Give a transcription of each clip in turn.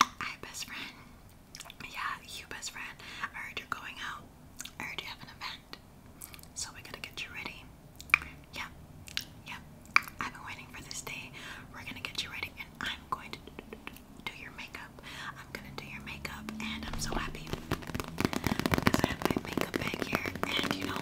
Hi, best friend. Yeah, you, best friend. I heard you're going out. I heard you have an event. So we gotta get you ready. Yeah, yeah. I've been waiting for this day. We're gonna get you ready, and I'm going to do your makeup. I'm gonna do your makeup, and I'm so happy because I have my makeup bag here. And you know,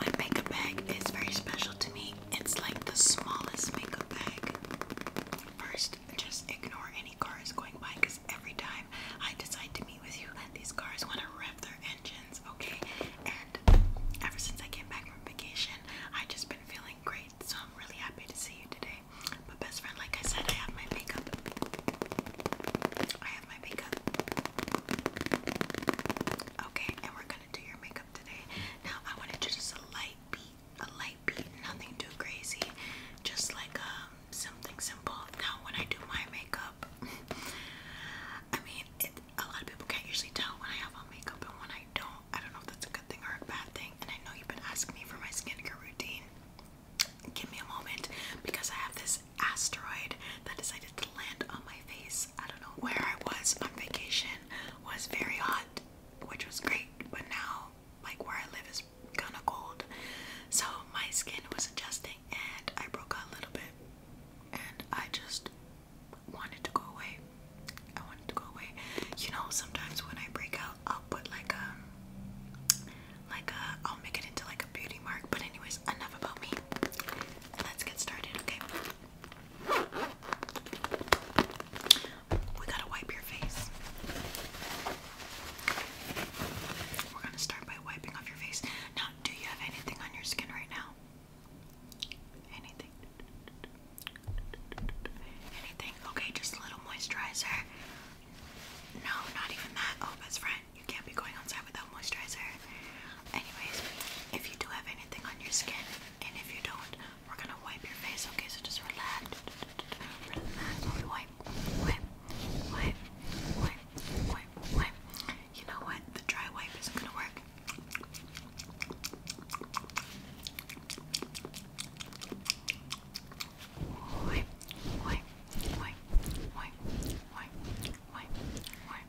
my makeup bag is very special to me. It's like the smallest makeup bag. First, just ignore any cars going by because every time I decide to meet with you, these cars want to rev their engines, okay? And ever since I came back from vacation, I've just been feeling great, so I'm really happy to see you today. My best friend, like I said, I have my makeup. I have my makeup. Okay, and we're gonna do your makeup today. Now I wanted to just a light beat, a light beat, nothing too crazy, just like um, something simple. Now when I do my makeup, I mean, a lot of people can't usually tell when I have on makeup and when I don't. I don't know if that's a good thing or a bad thing. And I know you've been asking me for my skincare routine. Give me a moment because I have this asteroid that decided to land on my face I don't know where I was on vacation was very hot, which was great, but now like where I live is kind of cold. So my skin was adjusting and I broke out a little bit and I just wanted to go away. I wanted to go away. You know, sometimes when I break out, I'll put like a um, like a uh, I'll make it into like a beauty mark. But anyways, enough about me. Let's get started, okay? We gotta wipe your face. We're gonna start by wiping off your face. Now, do you have anything on your skin right now? Anything? Anything? Okay, just a little moisturizer. No, not even that. Oh, best friend. You can't be going outside without moisturizer. Anyways, if you do have anything on your skin, and if you don't, we're gonna wipe your face, okay? So just relax. Relax. Wipe, wipe, wipe, wipe, wipe, wipe. You know what? The dry wipe isn't gonna work. Wipe, wipe, wipe, wipe, wipe, wipe, wipe.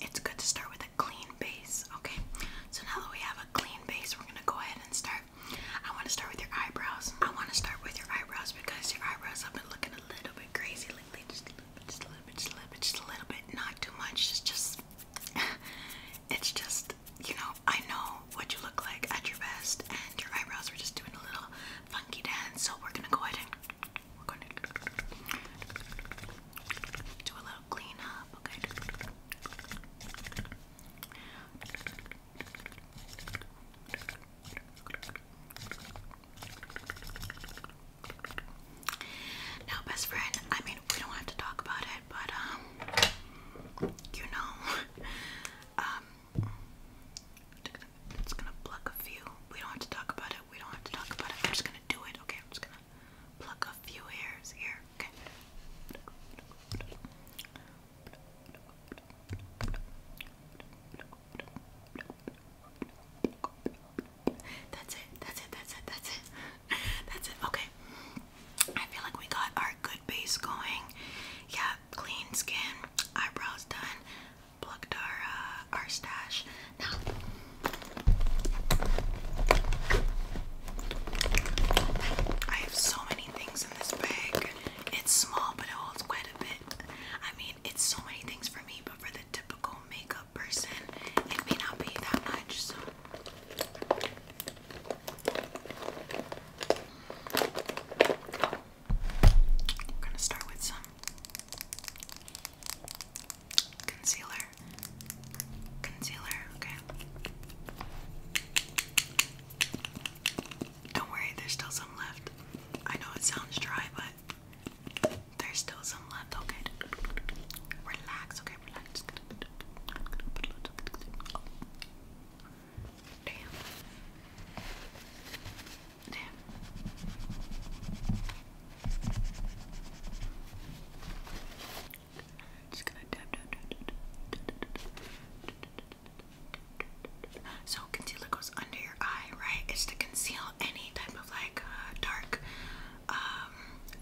It's good to start with a clean base, okay? So now that we have a clean base, we're gonna go ahead and start. I wanna start with your eyebrows. I wanna start with your eyebrows because your eyebrows have been looking a little bit crazy lately. Just a little bit, just a little bit, just a little bit, just a little bit. Not too much, it's just, it's just you know, I know what you look like at your best, and your eyebrows are just doing a little funky dance. So we're gonna go ahead and we're gonna do a little cleanup, okay? Now, best friend, I mean, we don't have to talk about it, but, um, you know, um, it's gonna pluck a few. We don't have to talk about it. We don't have to talk about it. I'm just gonna do it. Okay, I'm just gonna pluck a few hairs here. Okay. That's it. That's it. That's it. That's it. That's it. Okay. I feel like we got our good base going. Yeah, clean skin, eyebrows done, plucked our uh, our stash. Now I have so many things in this bag. It's small, but it holds quite a bit. I mean, it's so many things for me, but for the typical makeup person, it may not be that much. So. We're gonna start with some concealer. Concealer, okay. Don't worry, there's still some left. I know it sounds dry, but there's still some left, okay? Relax, okay, so concealer goes under your eye, right? It's to conceal any type of like uh, dark, um,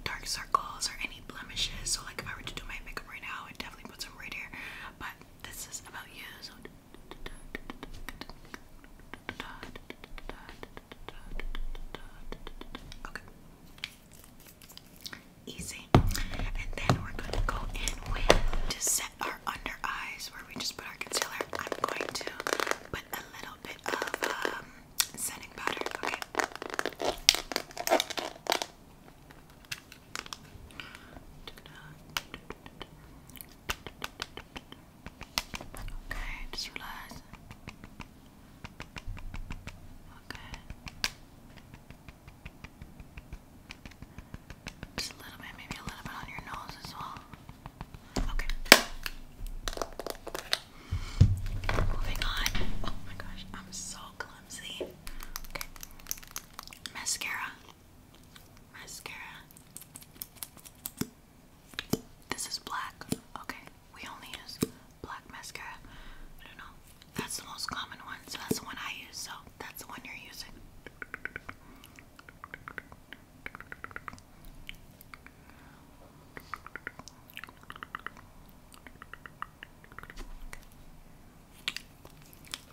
dark circles or any blemishes. So like if I were to do my makeup right now, it definitely put some right here, but this is about you. okay, easy. And then we're going to go in with to set our under eyes where we just put our concealer. I'm going to put a little bit of setting powder. Okay. Okay, just relax. Okay. Just a little bit, maybe a little bit on your nose as well. Okay. Moving on. Oh my gosh, I'm so clumsy. Okay. Mascara. Mascara. This is black. Okay. We only use black mascara. I don't know. That's the most common one, so that's the one I use, so that's the one you're using.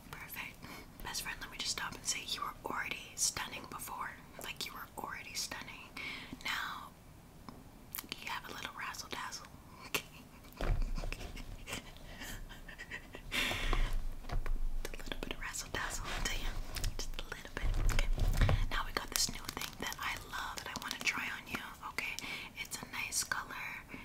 Perfect. Best friend, let me just stop and say you were already stunning before. Like you were already stunning. Now you have a little razzle dazzle. Okay. a little bit of razzle dazzle to you. Just a little bit. Okay. Now we got this new thing that I love that I want to try on you. Okay. It's a nice color.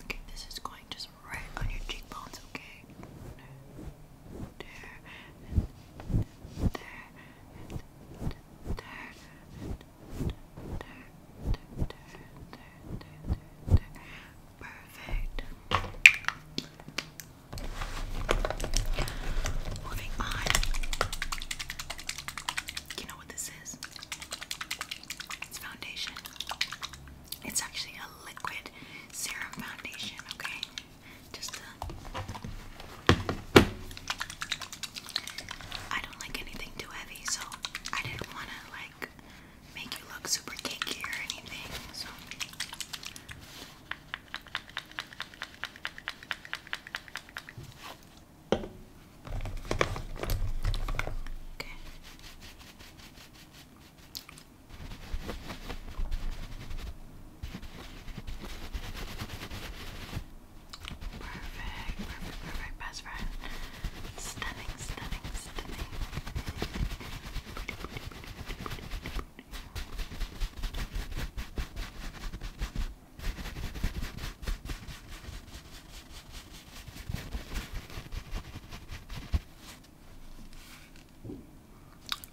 Okay, this is going just right on your cheekbones, okay? Perfect. Moving on. You know what this is? It's foundation. It's actually a liquid serum foundation, okay? Just a... Uh, I don't like anything too heavy, so I didn't want to, like, make you look super cakey or anything, so... Okay. Perfect, perfect, perfect, best friend. Stunning, stunning, stunning.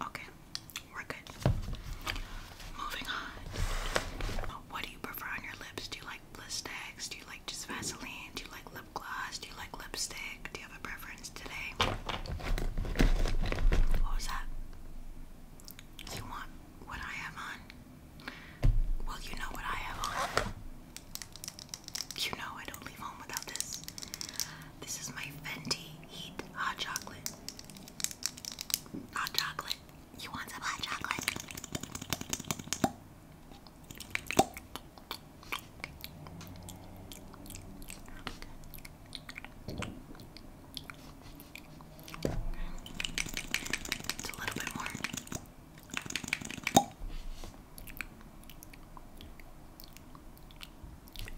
Okay, we're good. Moving on. What do you prefer on your lips? Do you like bliss Do you like just Vaseline? Do you like lip gloss? Do you like lipstick? Do you have a preference today? What was that? you want what I have on? Well, you know what I have on. You know I don't leave home without this. This is my Fenty Heat Hot Chocolate. Hot chocolate. You want some hot chocolate? It's a little bit more.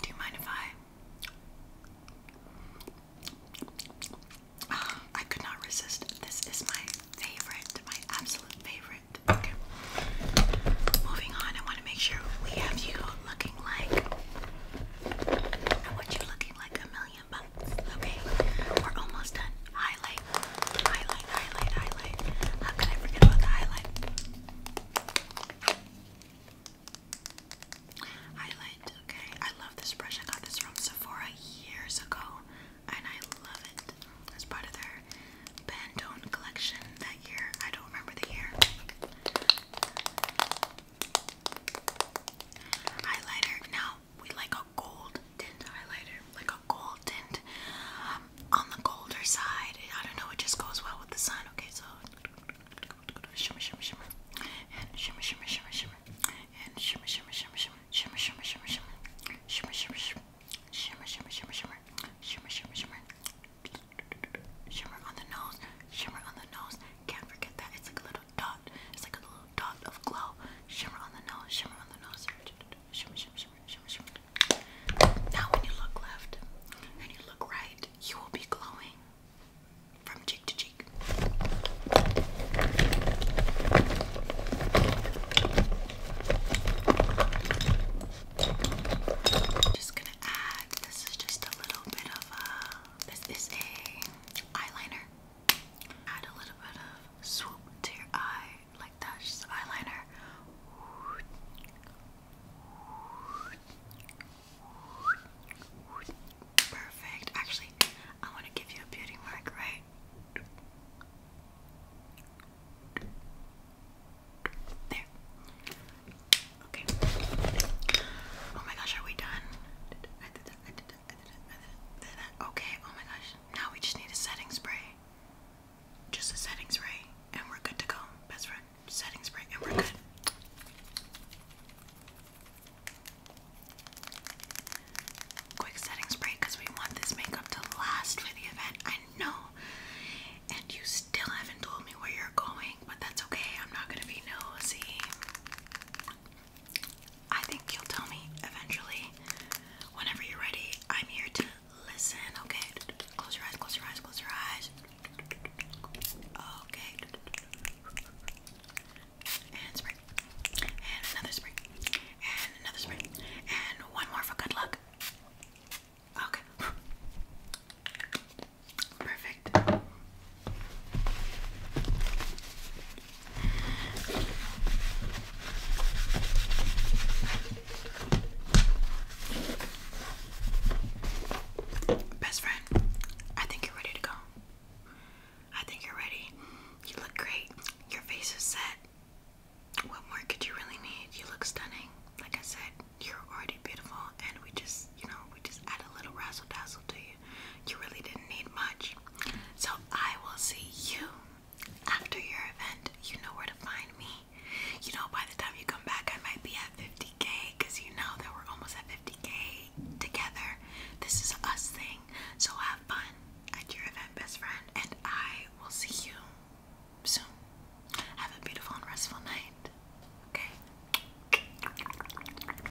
Do you mind if I? Ah, I could not resist. This is my favorite, my absolute favorite. Okay. Moving on, I want to make sure we have you looking like. I want you looking like a million. Okay, we're almost done. Highlight, highlight, highlight, highlight. How could I forget about the highlight? Highlight, okay. I love this brush. I got this from Sephora years ago, and I love it. It's part of their Pantone collection that year. I don't remember the year. Highlighter. Now we like a gold tint highlighter, like a gold tint um, on the colder side. I don't know, it just goes well with the sun. Okay, so shimmer, shimmer, shimmer, and shimmer, shimmer, shimmer, shimmer, and shimmer, shimmer, shimmer, shimmer, shimmer, shimmer, shimmer, shimmer, shimmer, shimmer, shimmer, shimmer, shimmer, shimmer, shimmer, shimmer, shimmer, shimmer, shimmer on the nose, shimmer on the nose. Can't forget that it's like a dot. It's like a little dot of glow. Shimmer on the nose, shimmer on the nose. Now, when you look left and you look right, you will be glowing from cheek to cheek. Just gonna add. This is just a little bit of uh, This is a eyeliner. Add a little bit of swoop to your eye, like that, just eyeliner. Perfect. Actually, I want to give you a beauty mark, right? There. Okay. Oh my gosh, are we done? Okay, oh my gosh. Now we just need a setting spray. Just a setting spray, and we're good to go. Best friend, setting spray, and we're good. Quick setting spray because we want this makeup to last for the event. I know. And you still haven't told me where you're going, but that's okay. I'm not gonna be nosy. I think you'll tell me eventually whenever you're ready. I'm here to listen, okay? Close your eyes, close your eyes, close your eyes. Okay. And spring. And another spring. And another spring. And one more for good luck. Okay. Perfect. Best friend, I think you're ready to go. I think you're ready. You look great. Your face is set. What more could you really need? You look stunning. Like I said, you're already beautiful, and we just, you know, we just add a little razzle dazzle to you. You really didn't need much. So I will see you after your event. You know where to find me. You know, by the time you come back, I might be at 50k because you know that we're almost at 50k together. This is us thing. So have fun at your event, best friend, and I will see you soon. Have a beautiful and restful night. Okay.